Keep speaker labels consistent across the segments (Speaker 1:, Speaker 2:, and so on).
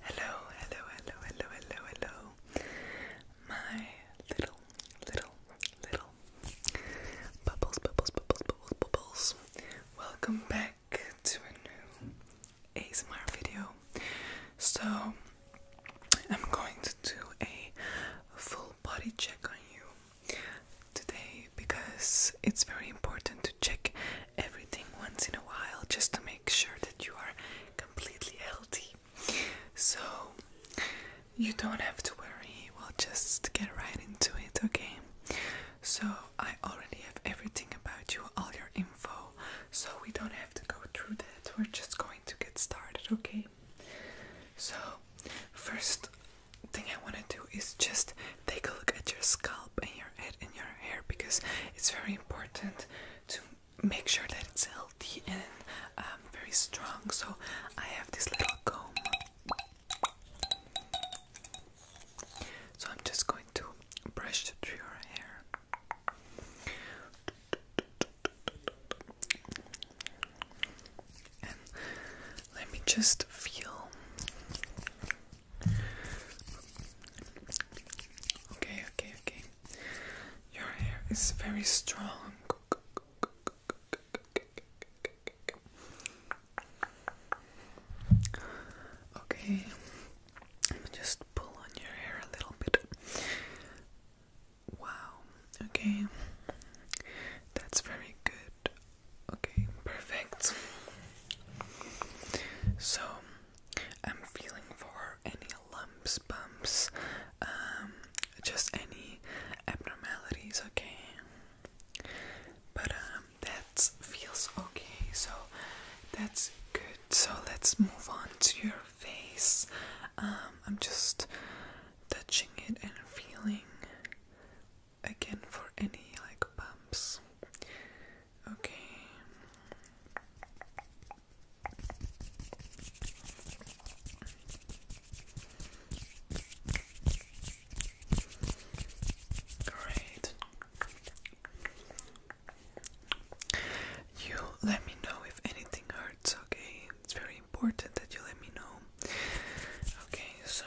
Speaker 1: Hello, hello, hello, hello, hello, hello. My little, little, little bubbles, bubbles, bubbles, bubbles, bubbles. Welcome back to a new ASMR video. So, I'm going to do a full body check on you today because it's very important check everything once in a while just to make sure that you are completely healthy. So you don't have to worry, we'll just get right into it, okay? So I already have everything about you, all your info, so we don't have to go through that. We're just going to get started, okay? So first thing I want to do is just take a look at your skull scalp and your head and your hair because it's very important to make sure that it's healthy and um, very strong. So I have this little comb. So I'm just going to brush through your hair. let me just feel Okay, okay, okay. Your hair is very strong. Okay, let me just pull on your hair a little bit. Wow, okay, that's very good. Okay, perfect. So, I'm feeling for any lumps, bumps, um, just any abnormalities, okay? But um, that feels okay, so that's good. So let's move on to your face. Um, I'm just touching it and feeling again for any like bumps. Okay. Great. You let me know if anything hurts, okay? It's very important that you let me know. Okay, so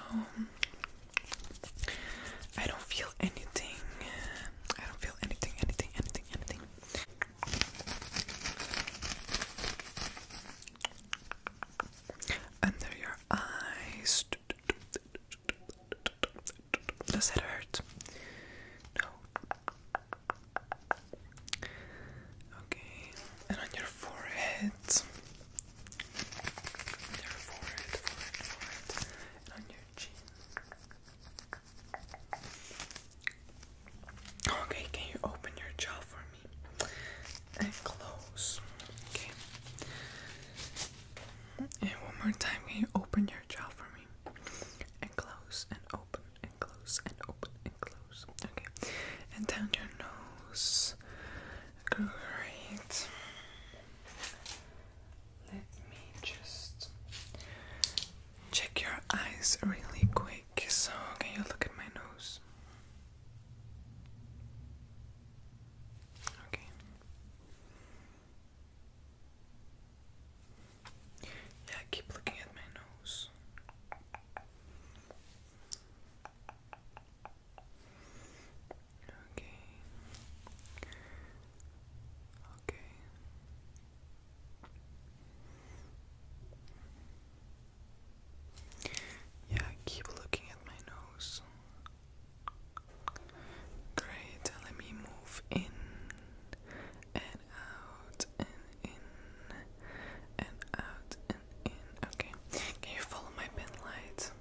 Speaker 1: I don't feel anything. I don't feel anything, anything, anything, anything. Under your eyes. Does that hurt? No. Okay, and on your forehead. On your forehead, forehead, forehead. Okay, can you open your jaw for me? And close. Okay. And one more time, can you open your jaw for me? And close and open and close and open and close. Okay. And down your nose. Great. Let me just check your eyes really quick. So, can you look at my nose? Okay. Yeah, keep looking at my nose. Okay. Okay. Yeah, keep looking at my nose. Great, let me move in and out and in and out and in. Okay, can you follow my pen light?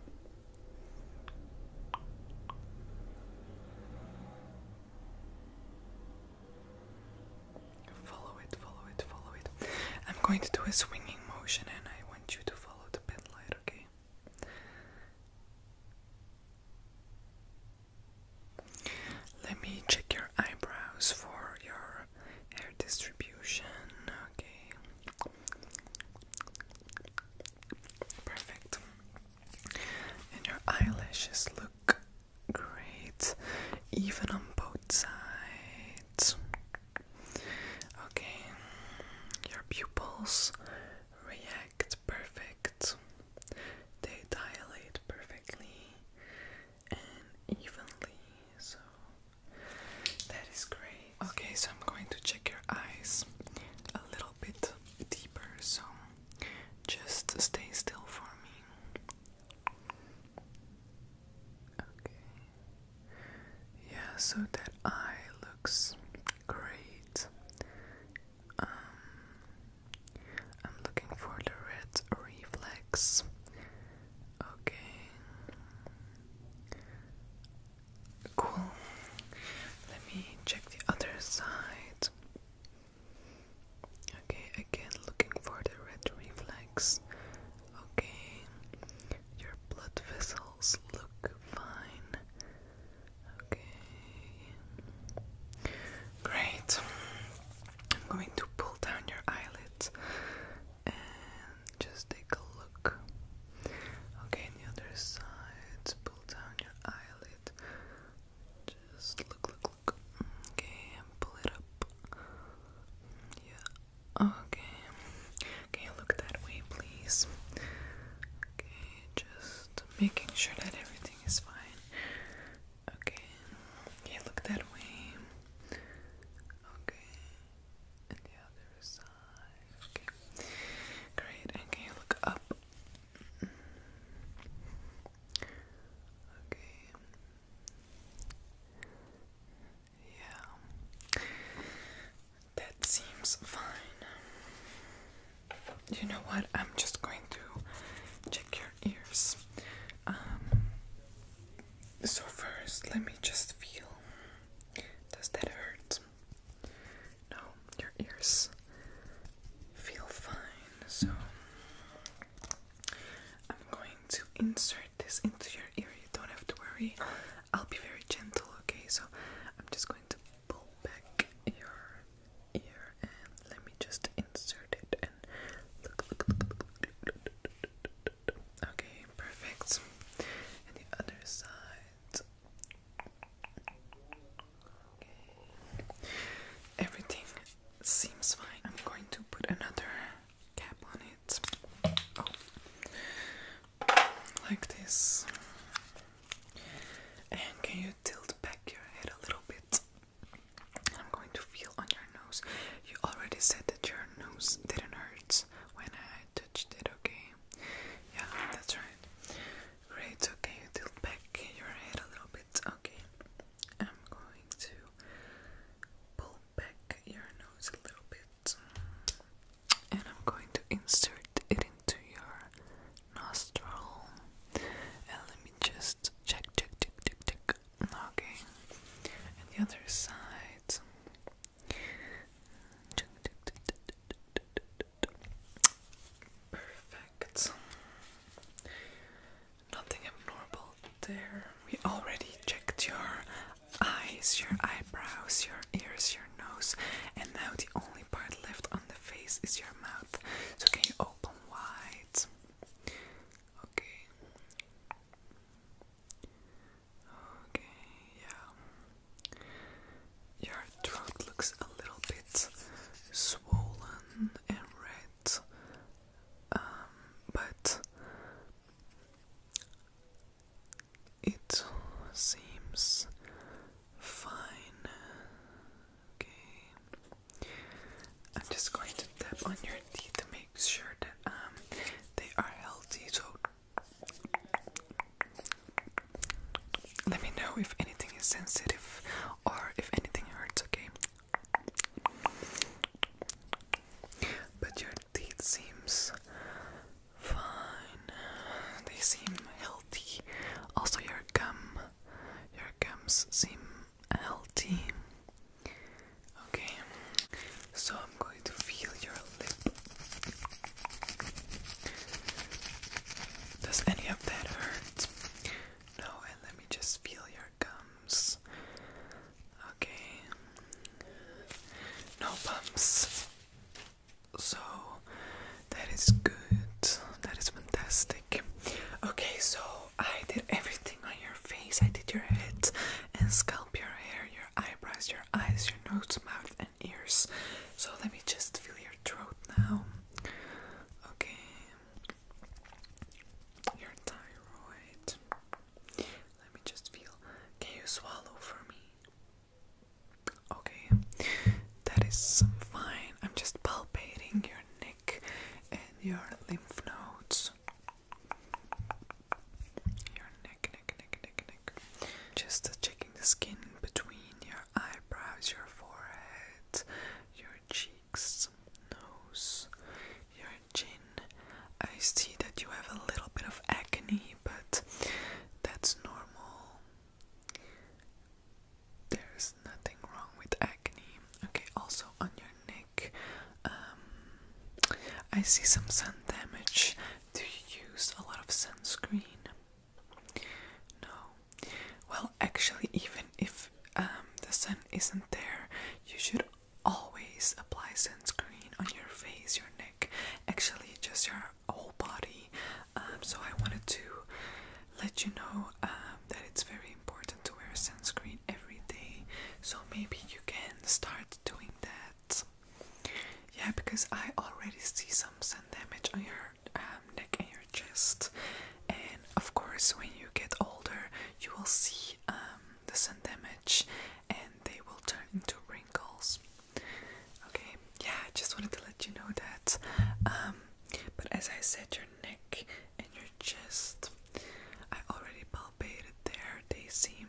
Speaker 1: Follow it, follow it, follow it. I'm going to do a swinging motion and I want you to follow the pen light, okay? Let me check your eyebrows for your hair distribution, okay? Perfect. And your eyelashes look great, even on both sides. Okay, your pupils react perfect. They dilate perfectly and evenly, so that is great. Okay, so I'm going to check your eyes a little bit deeper, so just stay still for me. Okay. Yeah, so that eye looks great. Um, I'm looking for the red reflex. Okay. Cool. Let me check the other side. Okay, again looking for the red reflex. Okay, your blood vessels look fine. Okay, great. I'm going to pull down your eyelids and just take a look. Okay, on the other side, pull down your eyelid. Just look, look, look. Okay, and pull it up. Yeah. Okay. Can you look that way, please? Okay, just making sure that everything is fine. Okay. Okay, look that way. Okay. And the other side. Okay. Great. And can you look up? Okay. Yeah. That seems fine. You know what? I'm just going to check your ears. Um, so, first, let me just feel. Does that hurt? No, your ears feel fine, so I'm going to insert this into your ear. You don't have to worry. I'll be very gentle, okay? So I'm just going to pull back your ear and let me just insert it and look, look, Okay, perfect. the other side. Everything seems fine. I'm going to put another cap on it. Oh. Like this. And can you tilt back your head a little bit? I'm going to feel on your nose. You already said that your nose didn't hurt when I touched it, okay? Yeah, that's right. Great, so you tilt back your head a little bit? Okay. I'm going to pull back your nose a little bit and I'm going to insert it into your nostril. And let me just check, check, check, check, check. Okay. And the other side. Perfect. Nothing abnormal there. We already checked your eyes, your eyebrows, your ears, your nose, and now the only part left on the face is your mouth. So can you open wide? Okay. Okay, yeah. Your throat looks a little bit swollen and red, um, but it seems fine. Okay, I'm just going to tap on your teeth to make sure that um, they are healthy, let me know if anything is sensitive or if anything hurts, okay? But your teeth seems fine. They seem healthy. Also your gum. Your gums seem healthy. Okay. So I'm to feel your lip. Does any of that hurt? No, and let me just feel your gums. Okay. No bumps. So that is good. That is fantastic. Okay, so I did everything on your face. I did your head and scalp, your hair, your eyebrows, your eyes, your nose, mouth, and ears. So let me just feel your throat now. Okay. Your thyroid. Let me just feel. Can you swallow for me? Okay. That is fine. I'm just palpating your neck and your lymph nodes. Your neck, neck, neck, neck, just checking the skin between your eyebrows, your forehead, your cheeks, nose, your chin. I see that you have a little bit of acne, but that's normal. There's nothing wrong with acne. Okay, also on your neck, um, I see some sun damage. Do you use a lot of sunscreen? No. Well, actually, even if um, the sun isn't there, you should always apply sunscreen on your face, your neck, actually, just your whole body. Um, so, I wanted to let you know um, that it's very important to wear sunscreen every day. So, maybe you can start doing that yeah, because I already see some sun damage on your um, neck and your chest, and of course, when you get older, you will see um, the sun damage, and they will turn into wrinkles. Okay, yeah, I just wanted to let you know that. Um, but as I said, your neck and your chest, I already palpated there. They seem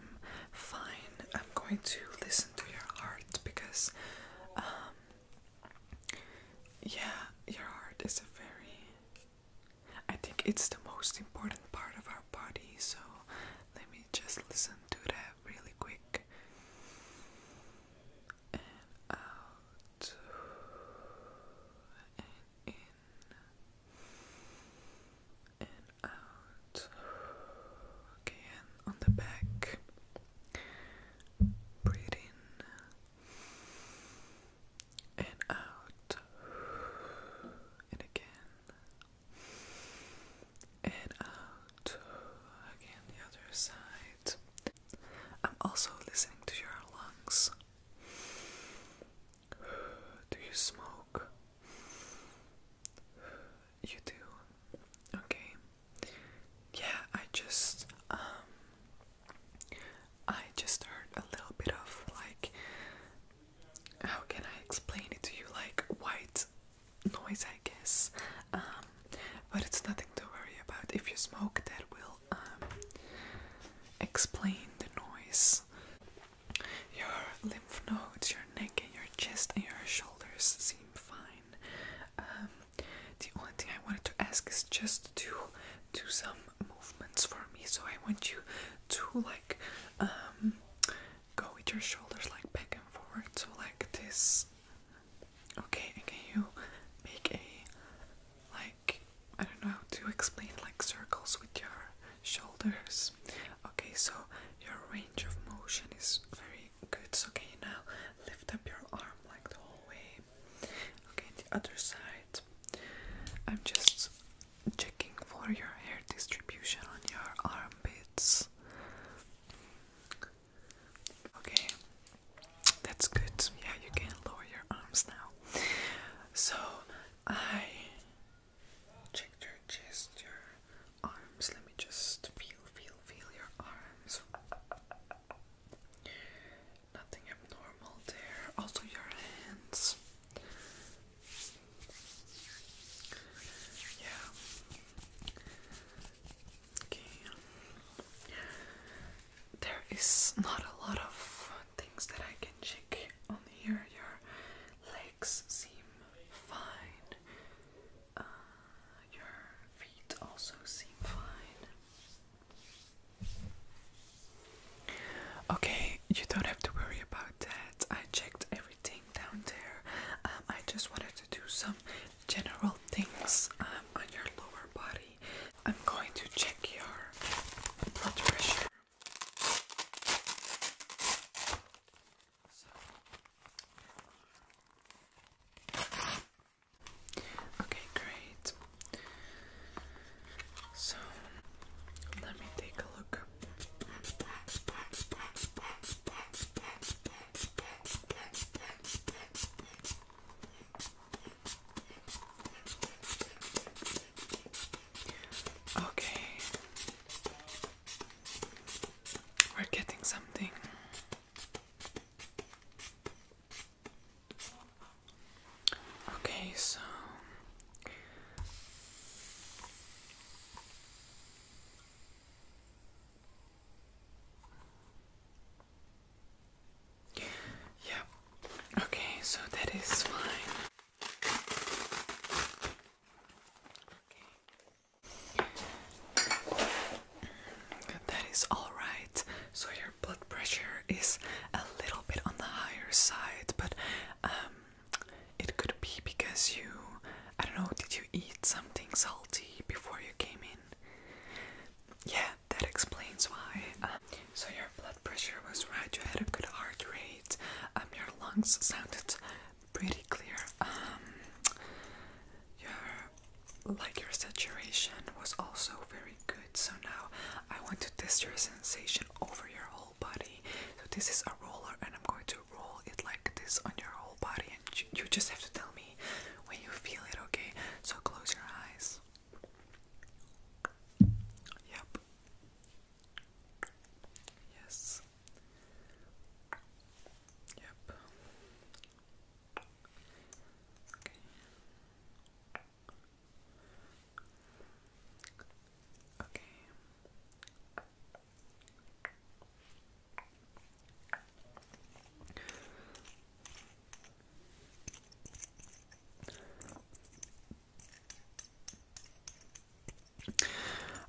Speaker 1: fine. I'm going to listen to your heart because um, yeah your heart is a very I think it's the most important part of our body so let me just listen to that really quick and out and in and out. Okay, on the back, breathe and out, and again, and out. Again, the other side. I'm also listening to your lungs. Do you smoke? You do. Okay. Yeah, I just um, I just heard a little bit of like how can I explain it to you like white noise I guess. Um, but it's nothing to worry about. If you smoke that will um, explain the noise. Your lymph nodes, your neck and your chest and your shoulders seem fine. Um, the only thing I wanted to ask is just to do some movements for me. So I want you to like um, go with your shoulders like back and forward. So like this. Okay, and can you make a like I don't know how to explain like circles with your shoulders? okay so your range of motion is very good so okay now lift up your arm like the whole way okay the other side I'm just checking for your hair distribution on your armpits okay that's good yeah you can lower your arms now so I Check your chest, your arms. Let me just feel, feel, feel your arms. Nothing abnormal there. Also, your hands. Yeah. Okay. There is not a lot of things that I can check on here. Your legs seem fine. Uh, your feet also seem fine. Okay, you don't have to worry about that. I checked everything down there. Um, I just wanted to do some general things um, on your lower body. I'm going to check your blood pressure. Okay, great. So let me take a look. Okay. We're getting something. Okay, so yeah, okay, so that is fine. Okay. That is alright. So, your blood pressure is a little bit on the higher side, but um, it could be because you. I don't know, did you eat something salty before you came in? Yeah, that explains why. Um, so, your blood pressure was right, you had a good heart rate, um, your lungs sounded pretty clear. Um, your like your saturation was also very good. So now I want to test your sensation over your whole body. So this is a roller, and I'm going to roll it like this on your whole body, and you, you just have to tell me when you feel it. Okay? So close your eyes. Yep. Yes. Yep. Okay. Okay.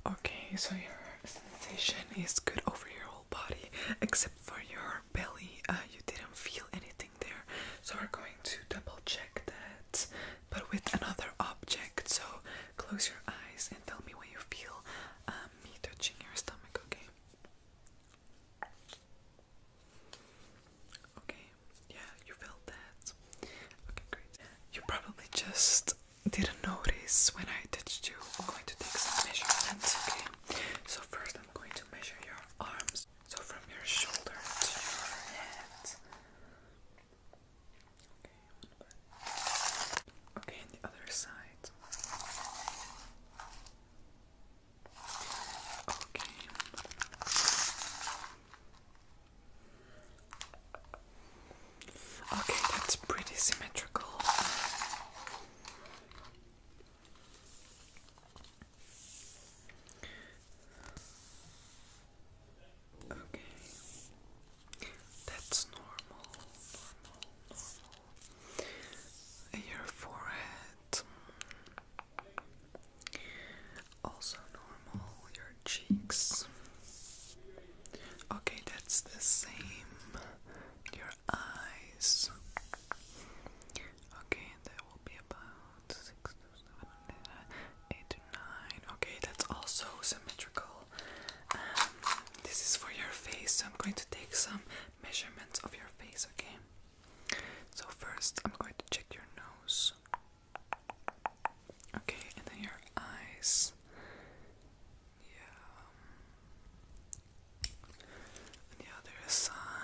Speaker 1: Okay, so your sensation is good over your whole body except for your belly. Uh, you didn't feel anything there, so we're going to double check that, but with another object. So close your eyes and tell me what you feel. Um, me touching your stomach, okay? Okay, yeah, you felt that. Okay, great. You probably just didn't notice when I touched you. I'm going to take some measurements, okay? So first I'm going to measure your arms. So from your shoulder to your head. Okay, okay and the other side. Okay. Okay, that's pretty symmetrical. Okay. That's normal, normal, normal. Your forehead. Also normal your cheeks. Okay, that's the same. Your eyes. Okay, that will be about six to seven, eight to nine. Okay, that's also symmetrical. Um, this is for your face, so I'm going to take some measurements of your face, okay? So, first, I'm going to check your nose. Okay, and then your eyes. Yeah. the other side.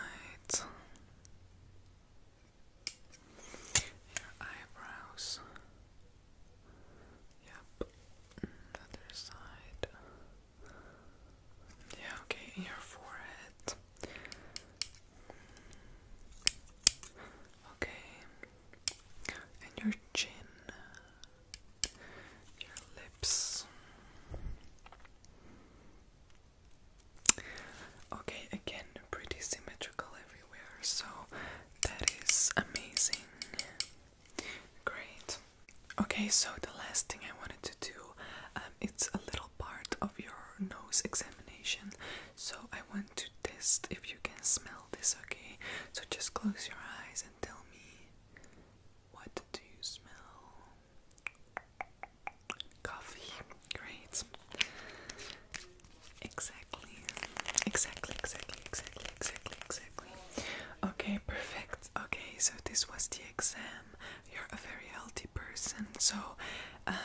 Speaker 1: your eyebrows. Yep. The other side. Yeah, okay, and your forehead. Okay, and your chin, your lips. Okay, again, pretty symmetrical everywhere, so that is amazing. Great. Okay, so the last thing I wanted to do, um, it's a little part of your nose examination. So I want to test if you can smell field okay. So just close your eyes and tell me what do you smell? Coffee. Great. Exactly. Exactly, exactly, exactly, exactly, exactly. Okay, perfect. Okay, so this was the exam. You're a very healthy person. So um,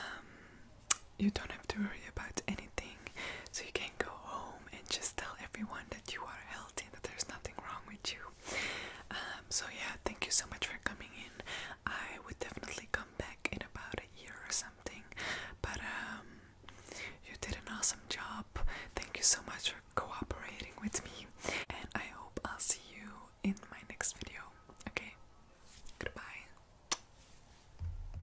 Speaker 1: you don't have to worry about anything. So you can go home and just tell everyone that you are healthy, that there's nothing wrong with you. Um, so yeah, thank you so much for coming in. I would definitely come back in about a year or something. But um, you did an awesome job. Thank you so much for cooperating with me, and I hope I'll see you in my next video. Okay, goodbye.